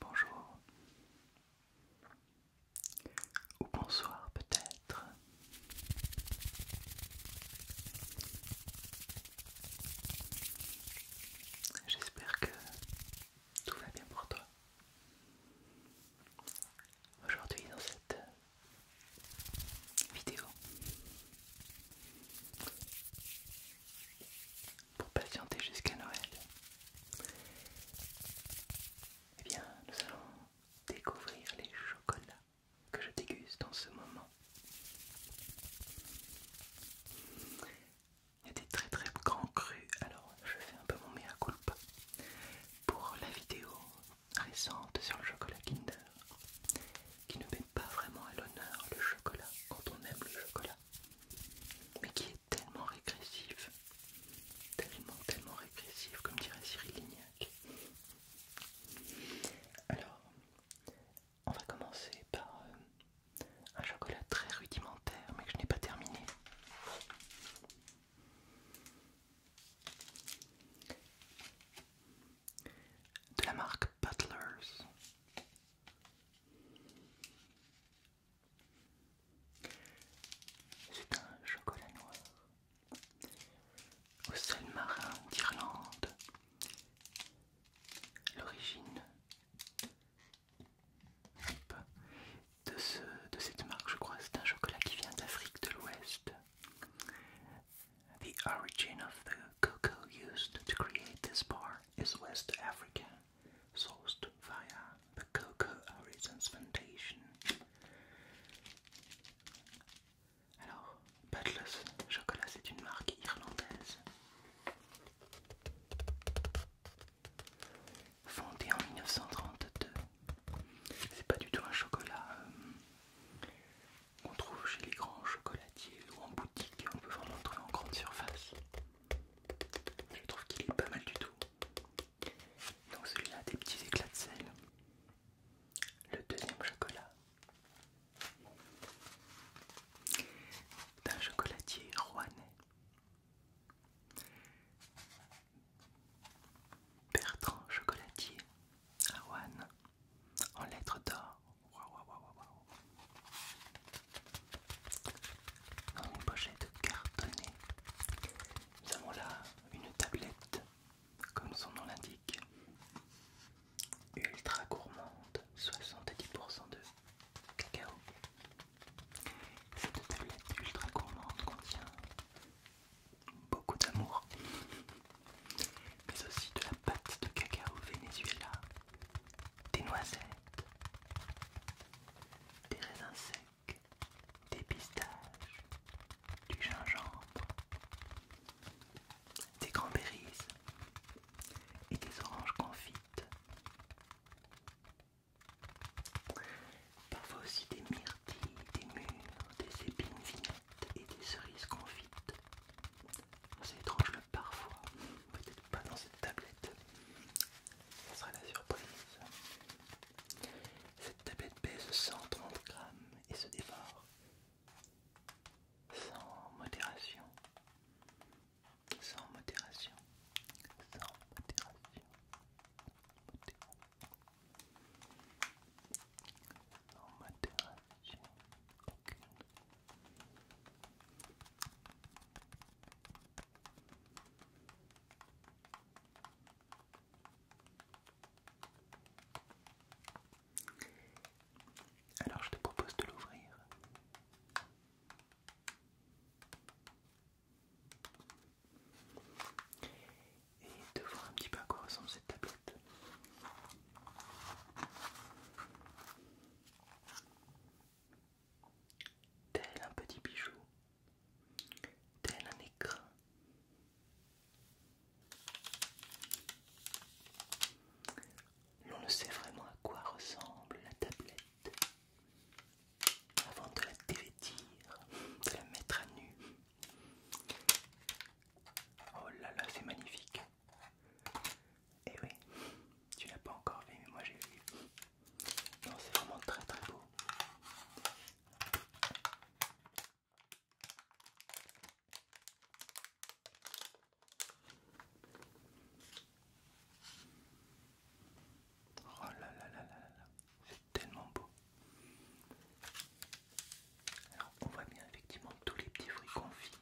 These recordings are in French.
Bonjour ou bonsoir peut-être. J'espère que tout va bien pour toi. Aujourd'hui dans cette vidéo pour patienter jusqu'à Noël. et eh bien, nous allons découvrir les chocolats que je déguste dans ce moment. Il y a des très très grands crus, alors je fais un peu mon mea culpa. Pour la vidéo, récente sur le chocolat Kinder qui ne met pas vraiment à l'honneur le chocolat quand on aime le chocolat mais qui est tellement régressif tellement tellement régressif comme dirait Cyril Lignac alors on va commencer par euh, un chocolat très rudimentaire mais que je n'ai pas terminé de la marque Butlers. C'est un chocolat noir au sel marin d'Irlande. L'origine de, de cette marque, je crois, c'est un chocolat qui vient d'Afrique de l'Ouest. The origin of the cocoa used to create this bar is West Africa, sourced via the Cocoa origins Foundation. Alors, Butler's Chocolat, c'est une marque irlandaise. Fondée en 1932, C'est pas du tout un chocolat euh, qu'on trouve chez les grands chocolatiers ou en boutique, on peut vraiment trouver en grande surface. Je trouve qu'il est pas mal du tout. Donc celui-là a des petits éclats de sel. Le deuxième chocolat. D'un chocolatier rouennais. Bertrand Chocolatier à en lettres d'or. Waouh, Dans une pochette cartonnée, nous avons là une tablette, comme son nom l'indique, ultra gourmande, 70% de cacao. Cette tablette ultra gourmande contient beaucoup d'amour, mais aussi de la pâte de cacao Venezuela, des noisettes, des raisins secs, des pistaches, du gingembre, des cranberries et des oranges confites. Parfois aussi des myrtes des murs, des épines vignettes et des cerises confites. C'est étrange le parfois, peut-être pas dans cette tablette. Ça sera la surprise. Cette tablette pèse 130 grammes et se dévore sans modération. Sans modération. Sans modération. Alors je te propose de l'ouvrir et de voir un petit peu à quoi ressemble cette tablette. Tel un petit bijou, tel un écran. L'on ne sait vraiment à quoi ressemble la tablette avant de la dévêtir, de la mettre à nu. Oh là là, c'est magnifique. Et eh oui, tu l'as pas encore vu, mais moi j'ai vu. Non, c'est vraiment très très beau. Oh là là là là là c'est tellement beau. Alors on voit bien effectivement tous les petits fruits confits,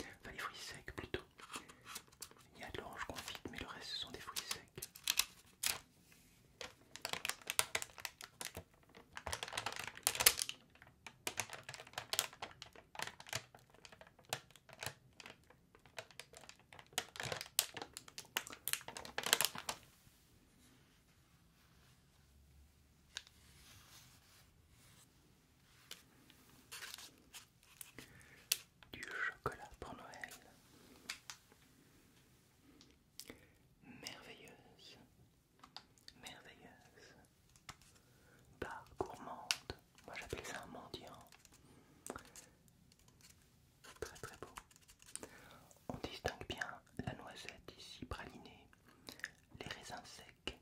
enfin les fruits secs plutôt. Il y a de l'orange confite, mais le reste ce sont des fruits secs. Du chocolat pour Noël. Merveilleuse, merveilleuse. Pas gourmande, moi j'appelle ça un mendiant. Très très beau. On distingue bien la noisette ici pralinée, les raisins secs,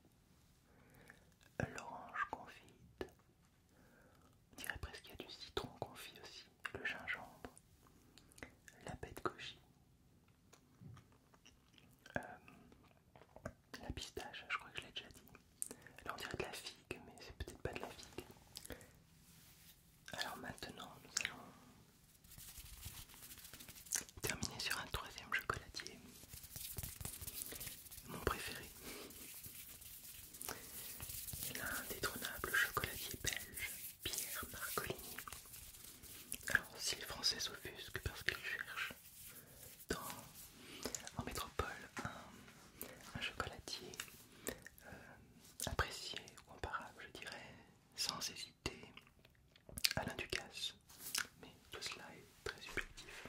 l'orange confite. On dirait presque qu'il y a du citron confit aussi, le gingembre, la bête goji, euh, la pistache, je crois que je l'ai déjà dit. Là on dirait de la figue, mais c'est peut-être pas de la figue. Alors maintenant, nous allons terminer sur un troisième chocolatier. Mon préféré. L'indétrônable chocolatier belge, Pierre Marcolini. Alors si les Français s'offusquent parce qu'ils cherchent dans, en métropole un chocolatier apprécié ou comparable, je dirais, sans hésiter, à l'un Mais tout cela est très subjectif.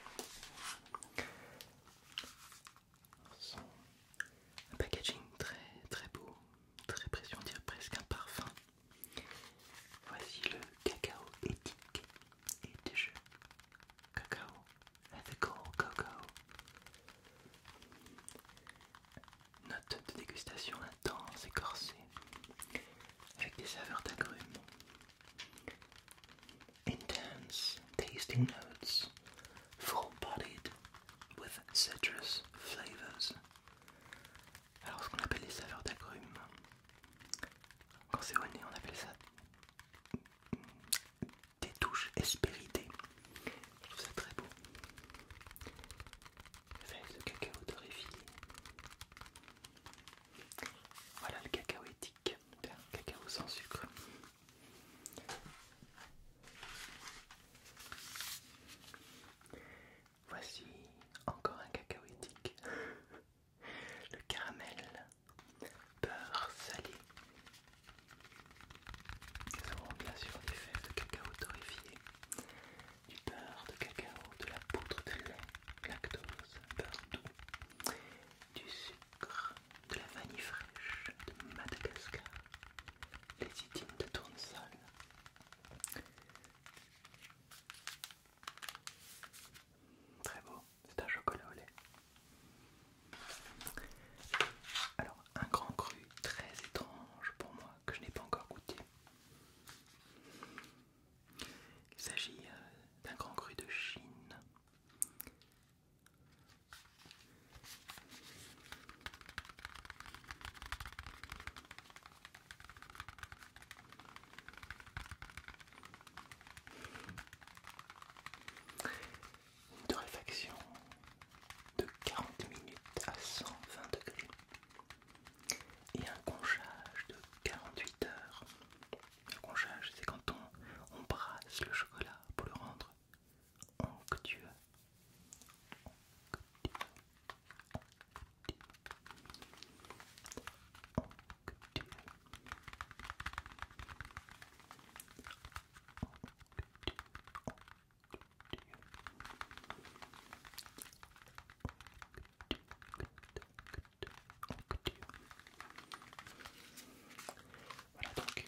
un packaging très très beau, très précieux, on dirait presque un parfum. Voici le cacao éthique et des Cacao Ethical Cocoa. Note de dégustation intense et corsée, avec des saveurs d'agrumes. Intense tasting notes, full-bodied with citrus flavors. Alors ce qu'on appelle les saveurs d'agrumes, quand c'est au nez on appelle ça des touches espéritées. Je trouve ça très beau. le cacao torréfié. Voilà le cacao éthique, cacao sans sucre. Voici encore un cacao éthique. Le caramel, beurre salé bien des de cacao torréfié, du beurre de cacao, de la poudre de lait, lactose, beurre du sucre, de la vanille fraîche de Madagascar, les itines de tournesol. Très beau, c'est un chocolat au lait. Alors, un grand cru très étrange pour moi que je n'ai pas encore goûté. Il s'agit euh, d'un grand cru de Chine de réflexion de 40 minutes à 120 degrés et un conchage de 48 heures. Le conchage, c'est quand on, brasse le chocolat pour le rendre onctueux. onctueux. onctueux. Voilà donc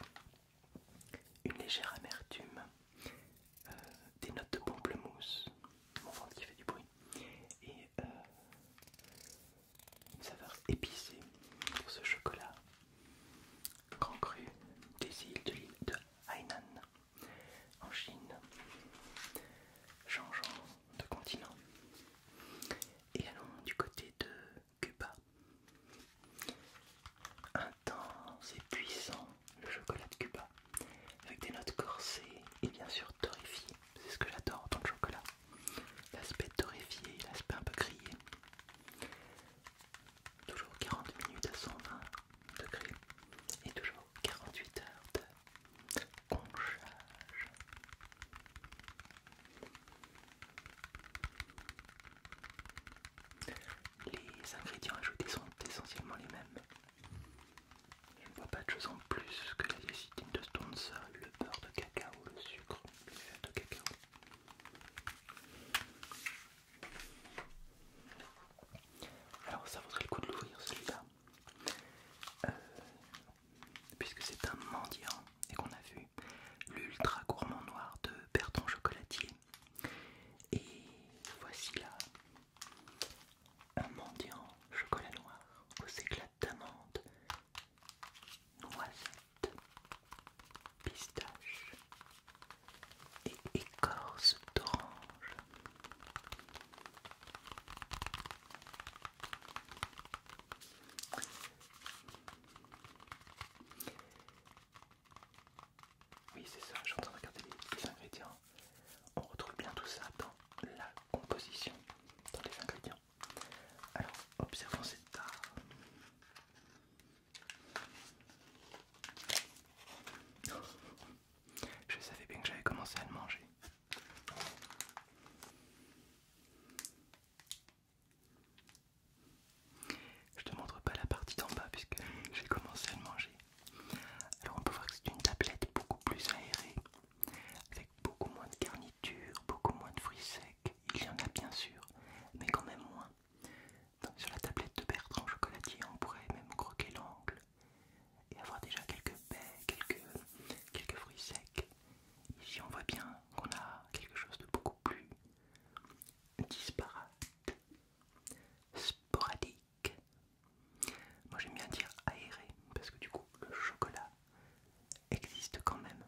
une légère amertume, euh, des notes de pamplemousse, mon ventre qui fait du bruit, et euh, une saveur épicée pour ce chocolat Grand cru des îles de Hainan en Chine, changeant de continent. Et allons du côté de Cuba. Intense et puissant le chocolat de Cuba, avec des notes corsées et bien sûr torréfiées. C'est ce que j'adore dans le chocolat. L'aspect torréfié, l'aspect un peu grillé toujours 40 minutes à 120 degrés et toujours 48 heures de conchage. Les ingrédients ajoutés sont essentiellement les mêmes. Je ne vois pas de choses en plus que la lécithine de Stone's, le beurre de cacao, le sucre, de cacao, alors ça vaudrait le coup de l'ouvrir celui-là. Euh, puisque c'est un mendiant et qu'on a vu l'ultra gourmand noir de Bertrand Chocolatier. Et voici là un mendiant chocolat noir aux éclats d'amande noisette, pistache et écorce d'orange. Oui, c'est ça, je suis en train de regarder les, ingrédients. On retrouve bien tout ça dans la composition, dans les ingrédients. Alors, observons cette tarte. Je savais bien que j'avais commencé à le manger. Je te montre pas la partie d'en bas puisque j'ai commencé à le manger. Alors on peut voir que c'est une tablette beaucoup plus aérée, avec beaucoup moins de garniture, beaucoup moins de fruits secs, il y en a bien sûr, mais quand même moins. Donc sur la tablette de Bertrand Chocolatier, on pourrait même croquer l'angle et avoir déjà quelques baies, quelques, quelques fruits secs. Ici on voit bien qu'on a quelque chose de beaucoup plus disparate, sporadique. Moi j'aime bien dire aéré, parce que du coup le chocolat existe quand même.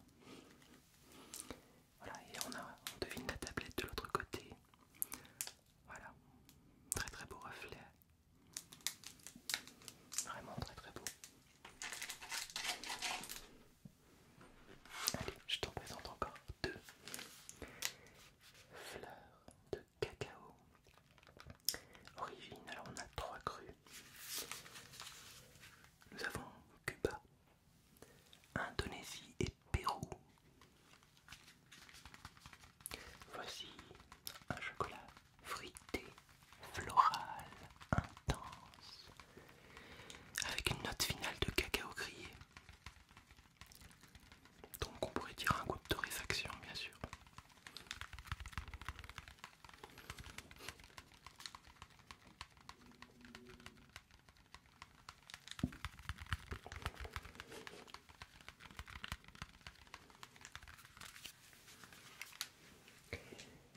Voilà, et on, a, on devine la tablette de l'autre côté. Voilà, très très beau reflet. Vraiment très très beau. Allez, je t'en présente encore deux fleurs de cacao. Origine, alors on a trois crues nous avons Cuba, Indonésie et Pérou. Voici un chocolat frité, floral, intense, avec une note finale de cacao grillé. Donc on pourrait dire un goût de torréfaction bien sûr.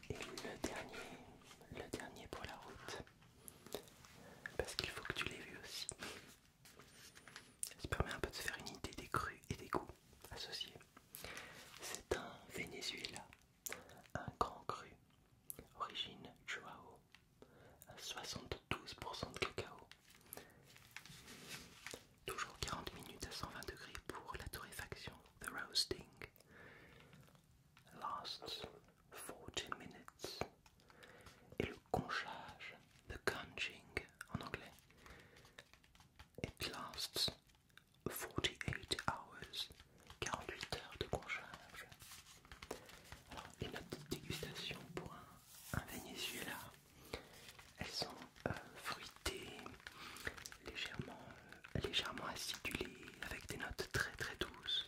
Et le dernier, le dernier pour la route, parce qu'il faut que tu l'aies vu aussi. Ça permet un peu de se faire une idée des crues et des goûts associés. C'est un Venezuela un grand cru, origine Chuao, à 72% de cacao. Toujours 40 minutes à 120 degrés pour la torréfaction, the roasting. Lasts 14 minutes. Et le conchage, the conching en anglais. It lasts 48 hours, 48 heures de concharge. Alors, les notes de dégustation pour un, un Venezuela, elles sont euh, fruitées, légèrement, euh, légèrement acidulées, avec des notes très très douces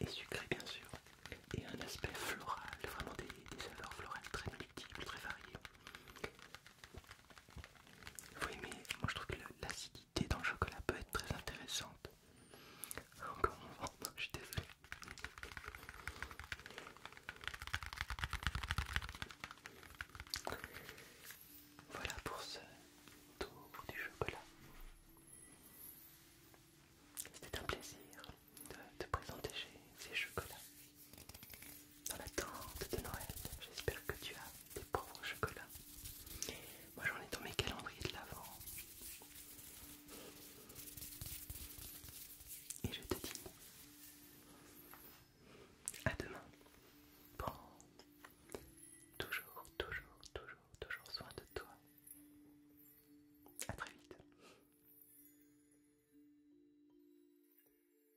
et sucrées bien sûr, et un aspect floral, vraiment des, saveurs florales très multiples, très variées. Oui mais moi je trouve que l'acidité dans le chocolat peut être très intéressante. Encore un moment, je suis désolé. Voilà pour ce tour du chocolat. C'était un plaisir de te présenter ces chocolats dans tente de Noël. J'espère que tu as des pauvres chocolats. Moi j'en ai dans mes calendriers de l'avant. Et je te dis à demain. Prends toujours, toujours, toujours, toujours soin de toi. À très vite.